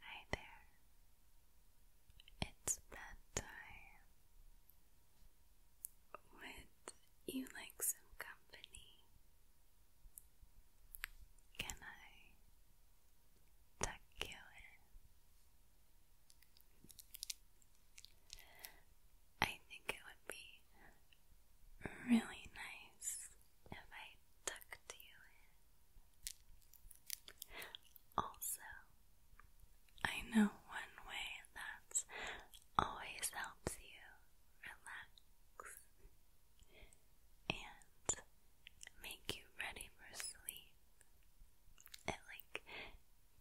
Hi there. It's bedtime. Would you like some company? Can I tuck you in? I think it would be really nice if I tucked you in. Also, I know one way that always helps you relax and make you ready for sleep. It like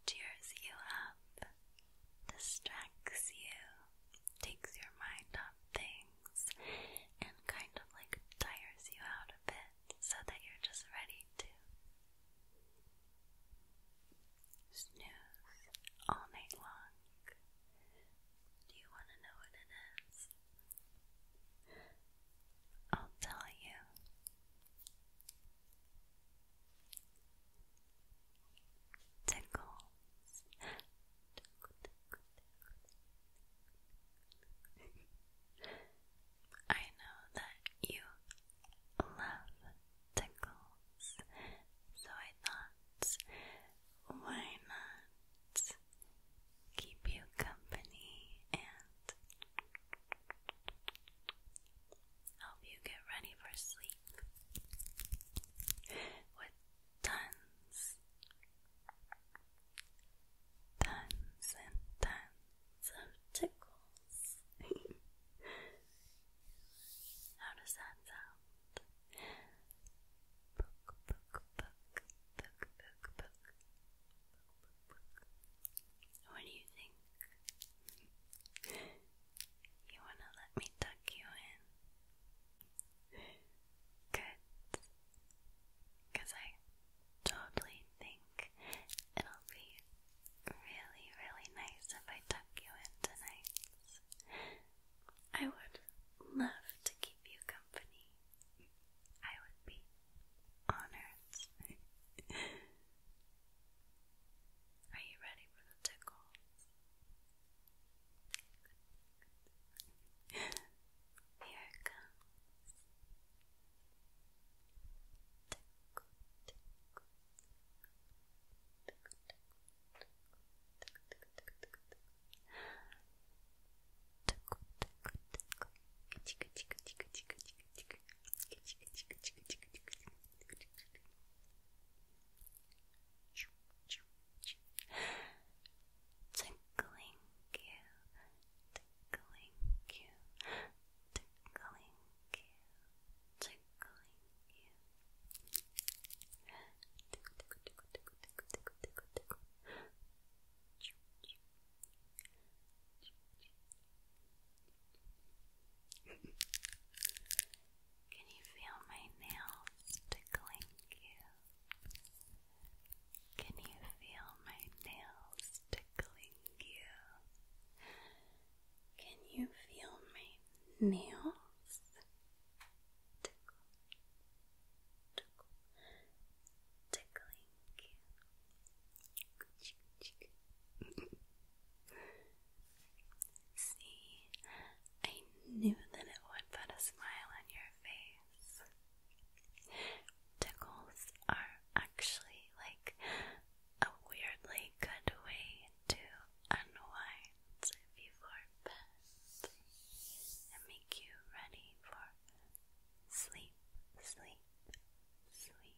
cheers you up, distracts you, takes your mind things and kind of like tires you out a bit so that you're just ready to snooze all night long. Do you want to know what it is? I'll tell you. Tickles. I know that you love tickles, so I thought, why not keep you company and help you get ready for sleep tons, tons and tons of tickles. How does that sound? Book, book, book, book, book, book, What do you think? You wanna let me tuck you in? good because I totally think it'll be really, really nice if I tuck you in tonight. I would love to keep you company. I would be honored. Are you ready for the tickles? Here it comes. Tickle, tickle, tickling you, tickling you, tickling you, tickling you. Tickle, tickle, tickle, tickle, tickle, tickle, tickle. Choo, Can you feel my nails tickling you? Can you feel my nails tickling you? Can you feel my nails? Tickle, tickle, tickling you. See, I knew that it would put a smile on your face eyes. Tickles are actually like a weirdly good way to unwind before bed and make you ready for sleep, sleep, sleep.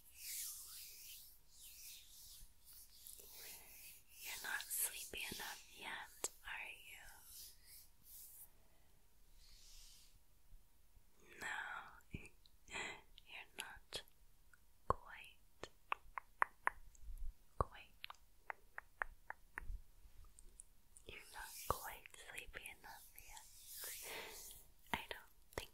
You're not sleepy enough yet, are you? No, you're not quite. Quite. You're not quite sleepy enough yet. I don't think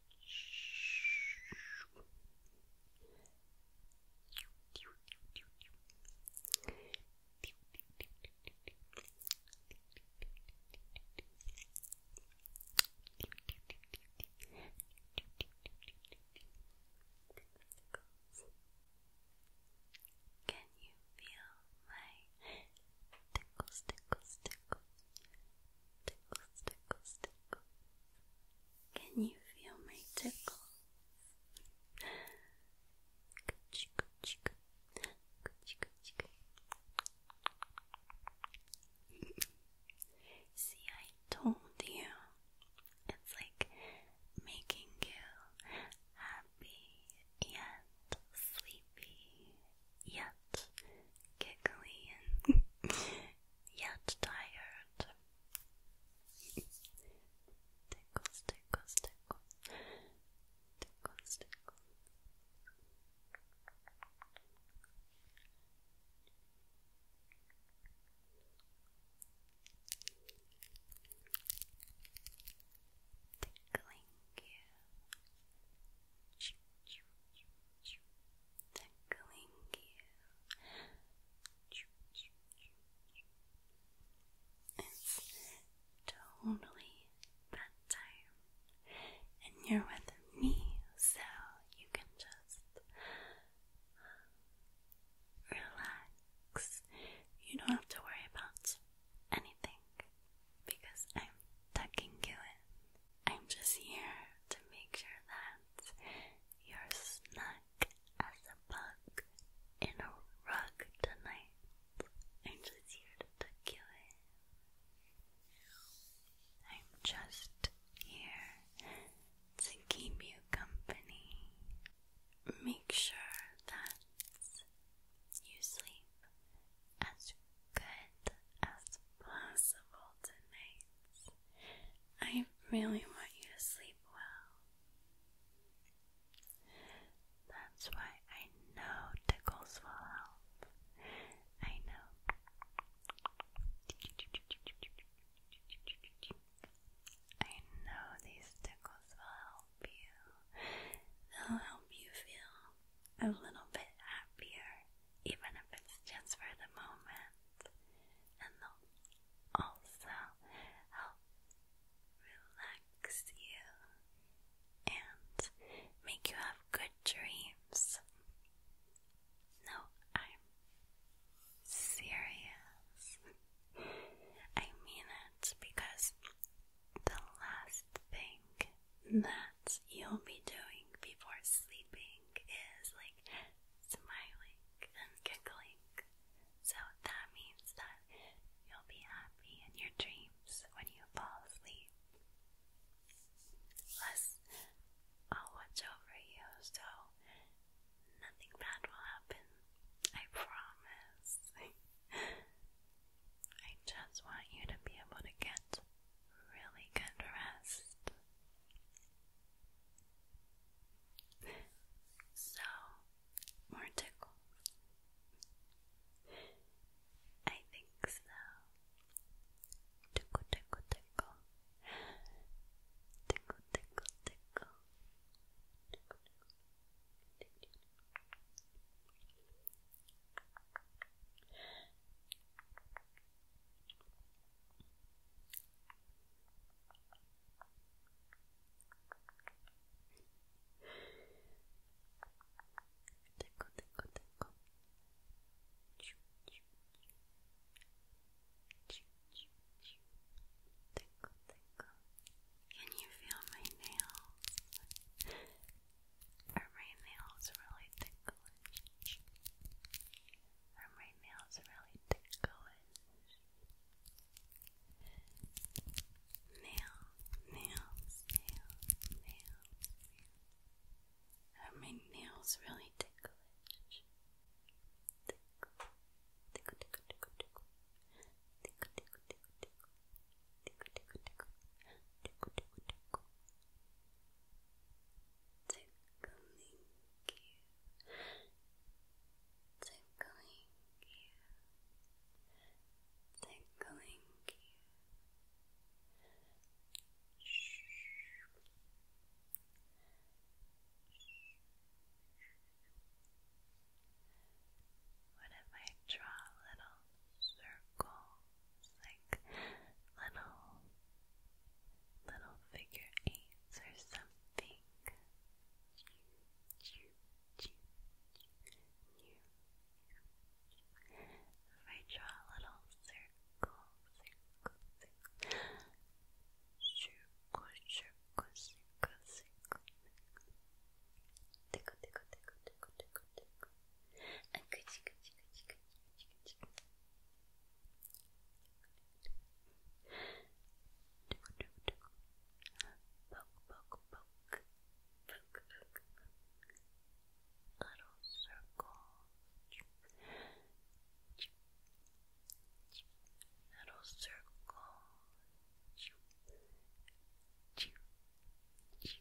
Can you feel my tickles, tickles, tickles? Tickles, tickles, tickles. Can you feel my tickle? See, I told you. It's like making you happy and sleepy yet giggly and yet tired. tickles, tickles, tickles, tickles, tickles. Tickling tickling you. It's totally bedtime, and you're with me, so you can just relax. You don't have to worry about anything because I'm tucking you in. I'm just here to make sure that you're snug as a bug in a rug tonight. I'm just here to tuck you in. I'm just here to keep you company. Make sure that you sleep as good as possible tonight. I really want you to sleep well. That's why I know tickles will help. I know. I know these tickles will help you. They'll help you feel a little bit happier even if it's just for the moment, and will also help relax you and make you have good dreams. No, I'm serious. I mean it because the last thing that you'll be doing before sleeping is like smiling and giggling. So that means that you'll be happy in your dreams when you fall asleep. Plus, I'll watch over you so nothing bad will happen. I promise. I just want you to be able to get really good rest. So, more tickles. I think so. Tickle, tickle, tickle. Tickle, tickle, tickle. Tickle, tickle, tickle. Choo, choo, choo. Choo, choo, Can you feel my nails? Are my nails really tickling? ticklish. Um, right really ticklish. Nails, nails, nails, nails, nails. my nails really ticklish. Tickle, tickle, tickle, tickle, tickle. Tickle, tickle, tickle, tickle. Tickle, tickle, tickle. Tickle, tickle, tickle tickling you, tickling you, tickling you. Shh. What if I draw a little circle like little little figure eights or something. If I draw a little circle, circle, circle, circle, circle, circle, circle, tickle, tickle, tickle, tickle, tickle, tickle, and Poke, poke, poke. Poke, poke, poke. Little circle. Little circle. Choo, choo, choo,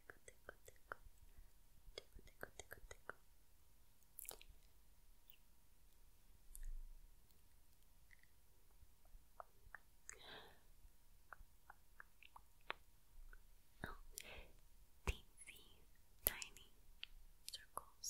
tickle, tickle, tiny circles, little teensy, tiny circles.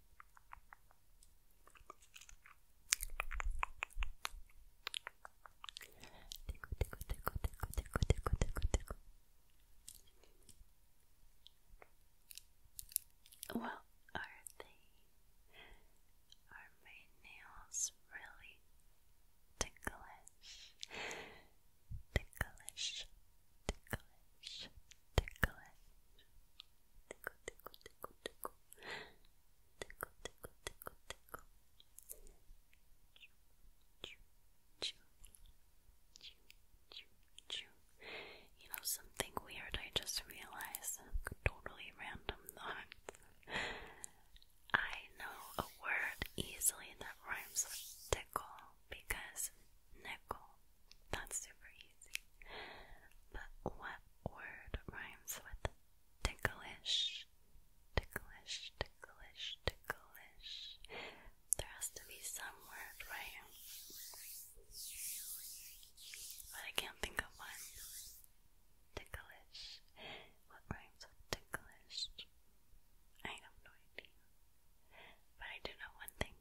Well, are they? Are my nails really ticklish? Ticklish, ticklish, ticklish tickle, tickle, tickle, tickle, tickle, tickle, tickle, tickle. You know something weird I just realized, totally random thought. I know a word easily that rhymes with tickle because nickel that's super easy. But what word rhymes with ticklish? Ticklish, ticklish, ticklish. There has to be some word, right? But I can't think of one. Ticklish. What rhymes with ticklish? I have no idea. But I do know one thing.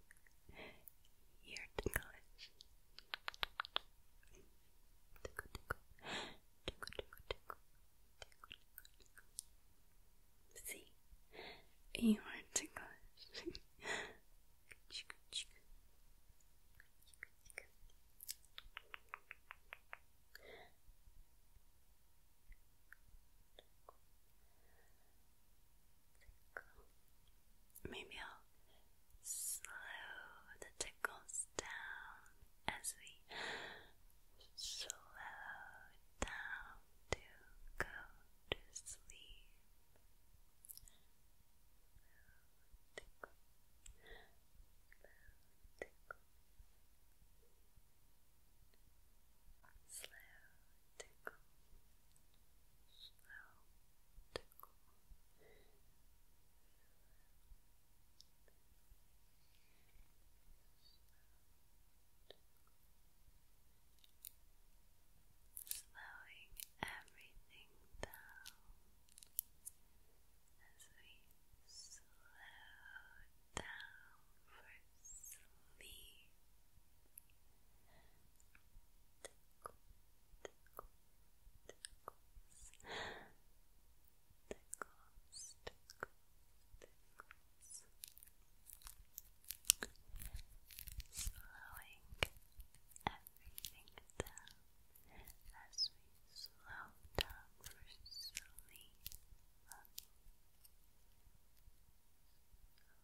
You're ticklish. Tickle, tickle. Tickle, tickle, tickle. Tickle, tickle. See? You are ticklish. Maybe I'll slow the tickles down as we slow down to go to sleep. Slow tickle. tickle. Slow tickle, slow Slowing everything down as we slow down for sleep. Slowing everything down as we slow down for so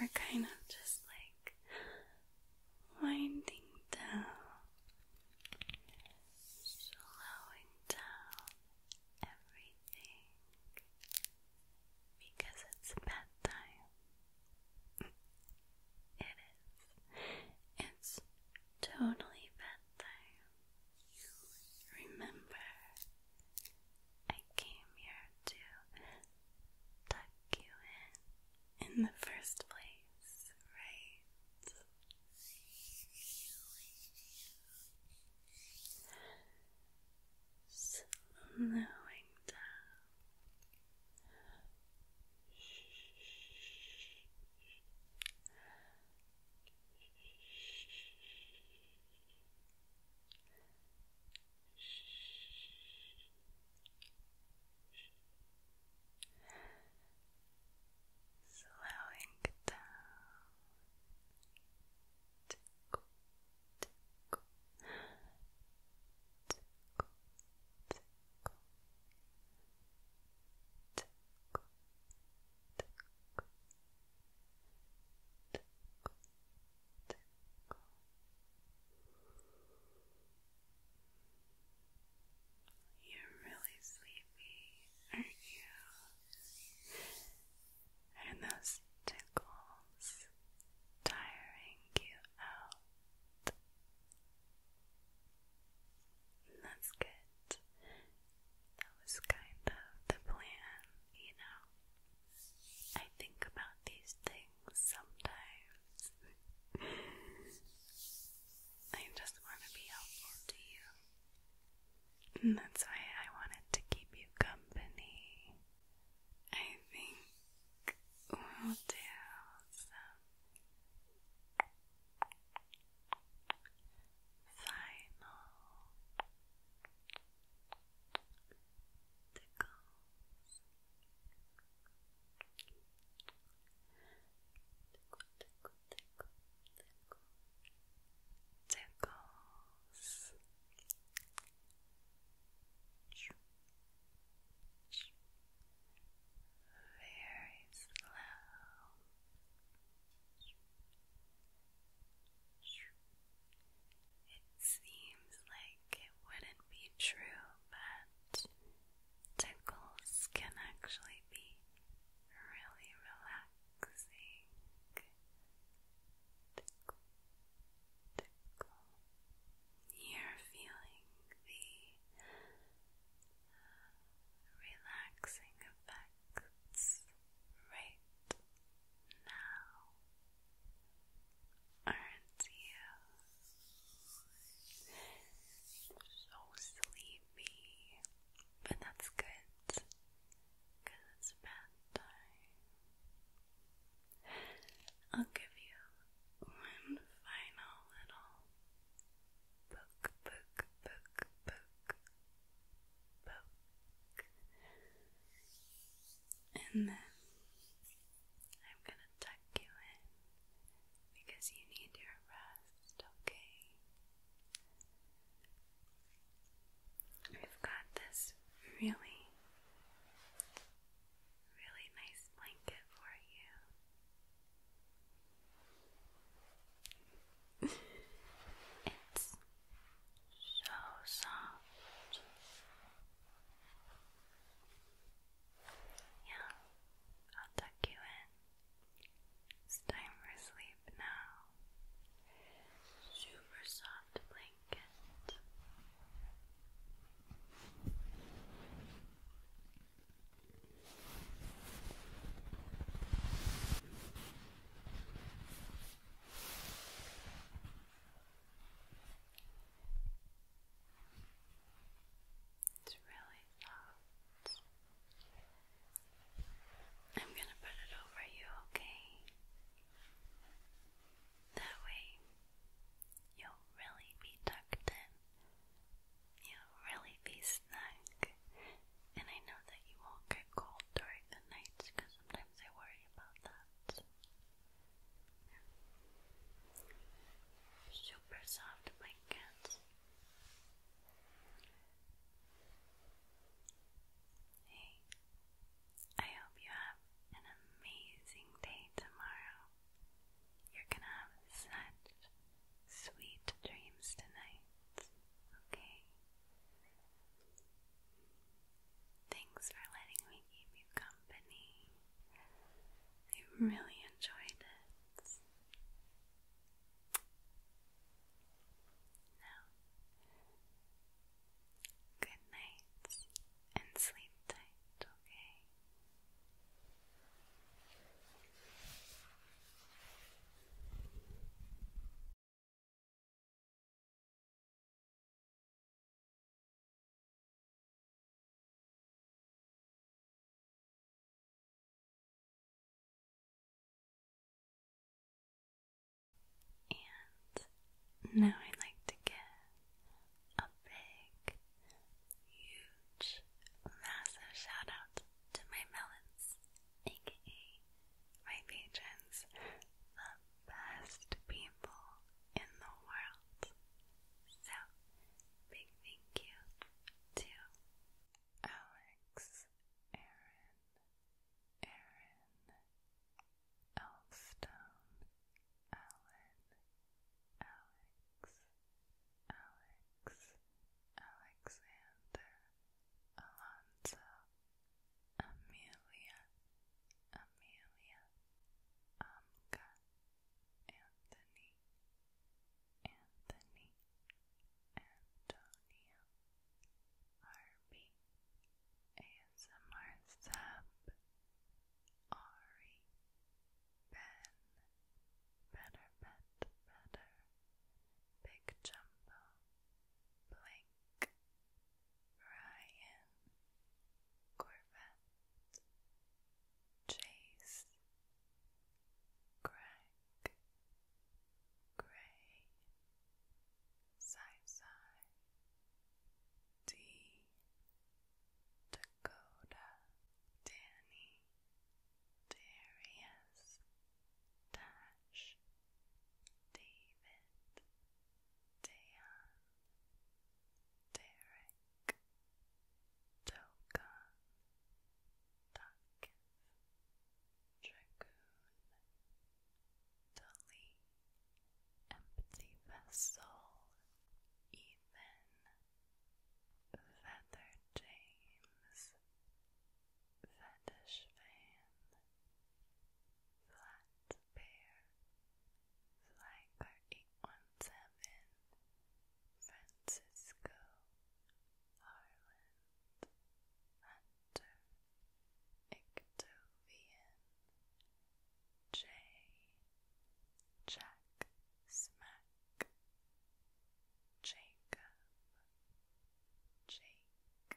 We're kind of just like winding down, slowing down everything because it's bedtime. it is. It's totally bedtime. Remember I came here to tuck you in in the first place, right? Slowing down. Slowing down circle. You're really sleepy, aren't you? And those tickles tiring you out. That's good. That was kind of the plan, you know. I think about these things sometimes. I just want to be helpful to you. And that's why I wanted to keep you company. I think we'll do some final tickles tickle, tickle, tickle, very slow it seems like it wouldn't be true, but tickles can actually be really relaxing. You're feeling the uh, relaxing effects right now. Aren't you so sleepy? But that's good because it's bedtime. I'll give you one final little book, book, book, book, book, and then. I'm gonna tuck you in because you need your rest, okay? We've got this really, really nice blanket for you. it's so soft. Yeah, I'll tuck you in. time for sleep now. Super soft blanket. It's really soft. I'm gonna put it over you, okay? That way you'll really be tucked in. You'll really be snug. And I know that you won't get cold during the nights because sometimes I worry about that. Super soft blankets. Hey, I hope you have an amazing day tomorrow. You're gonna have such sweet dreams tonight, okay? Thanks for letting me keep you company. I really enjoyed it. Now, good night and sleep tight, okay? And now I'd like to give a big, huge, massive shout to my melons, aka my patrons, the best people in the world. So, big thank you to Alex, Aaron, Aaron, Elstone, Alan, Alex, Alex, Alexander, Alonso, Amelia, Amelia, Amka, Anthony, Anthony, Antonio, Harvey, ASMR Sub, Ari, Ben, Better Bet Better, Big Jumbo, Blink, Ryan, Corvette, Chase, Greg, Gray, sci D, Dakota, Danny, Darius, Dash, David, Dayan, Derek Dogan Ducketh Dragoon Tully Empty Vessel Ethan Feather James Fetish Fan Flat Bear Flagger 819 seven Francisco Harland Hunter Ictovian J Jack Smack Jacob Jake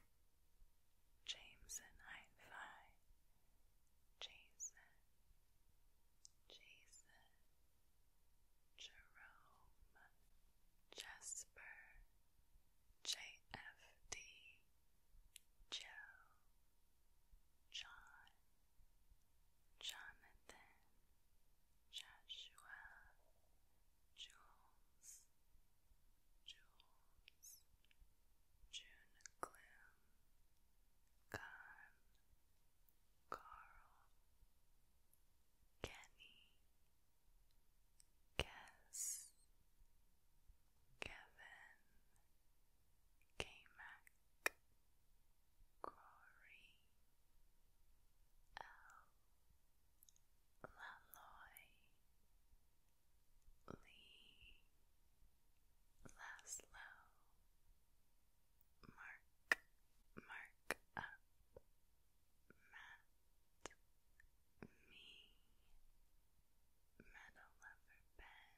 Jameson Hi Fi Jason Jason, Jerome, Jasper, JFD, Joe, John, Jonathan, Joshua, Jules, Jules, June Gloom, Gunn, Carl, Kenny, Guess, Kevin, k Corey, L, Laloy, Lee, Laszlo, mark, mark up, mat, me, metal lover pen,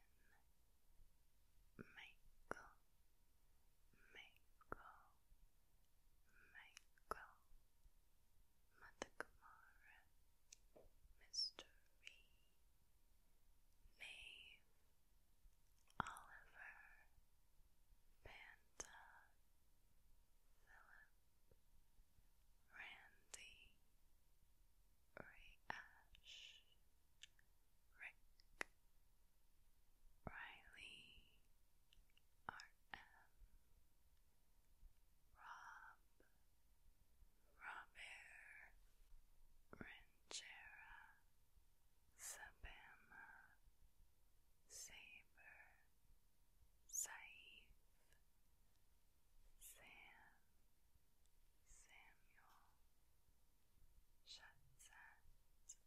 Michael, Michael, Michael, Mother Kamara, Mr. Reed, Maeve, Oliver, Fanta, Philip, Randy, Ray Ash, Rick, Riley, R.M., Rob, Robert, Ranchera, Sabama, Saber, Saif, Sam, Samuel, Shatzat,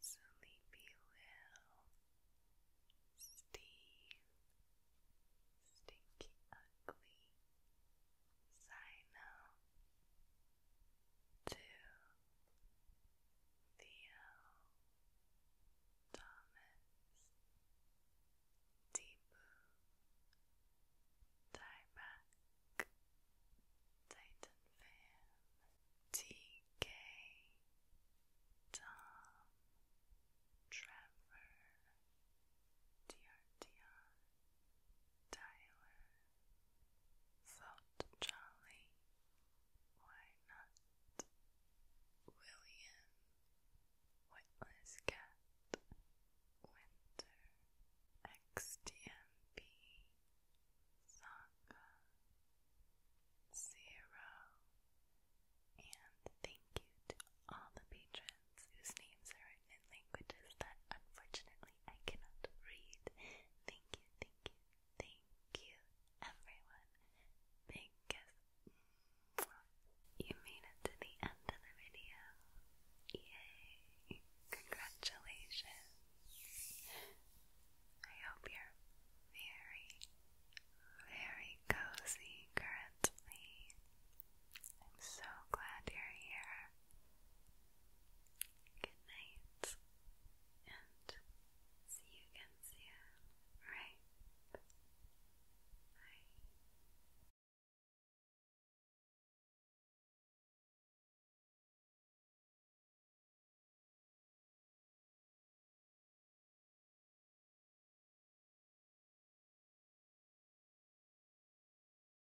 Sleepy Lil, Steve, Stinky Ugly, Sino to Theo Thomas Deepu Dieback Titan TK Tom Trevor Diardion Tyler thought Charlie. Why William Witless Cat Winter XDMB Saga Zero and thank you to all the patrons whose names are in languages that unfortunately I cannot read. Thank you, thank you, thank you, everyone. Thank mm, You made it to the end of the video. Yay! Congratulations! I hope you're very, very cozy currently. I'm so glad you're here. Good night, and see you again soon. Right? Bye.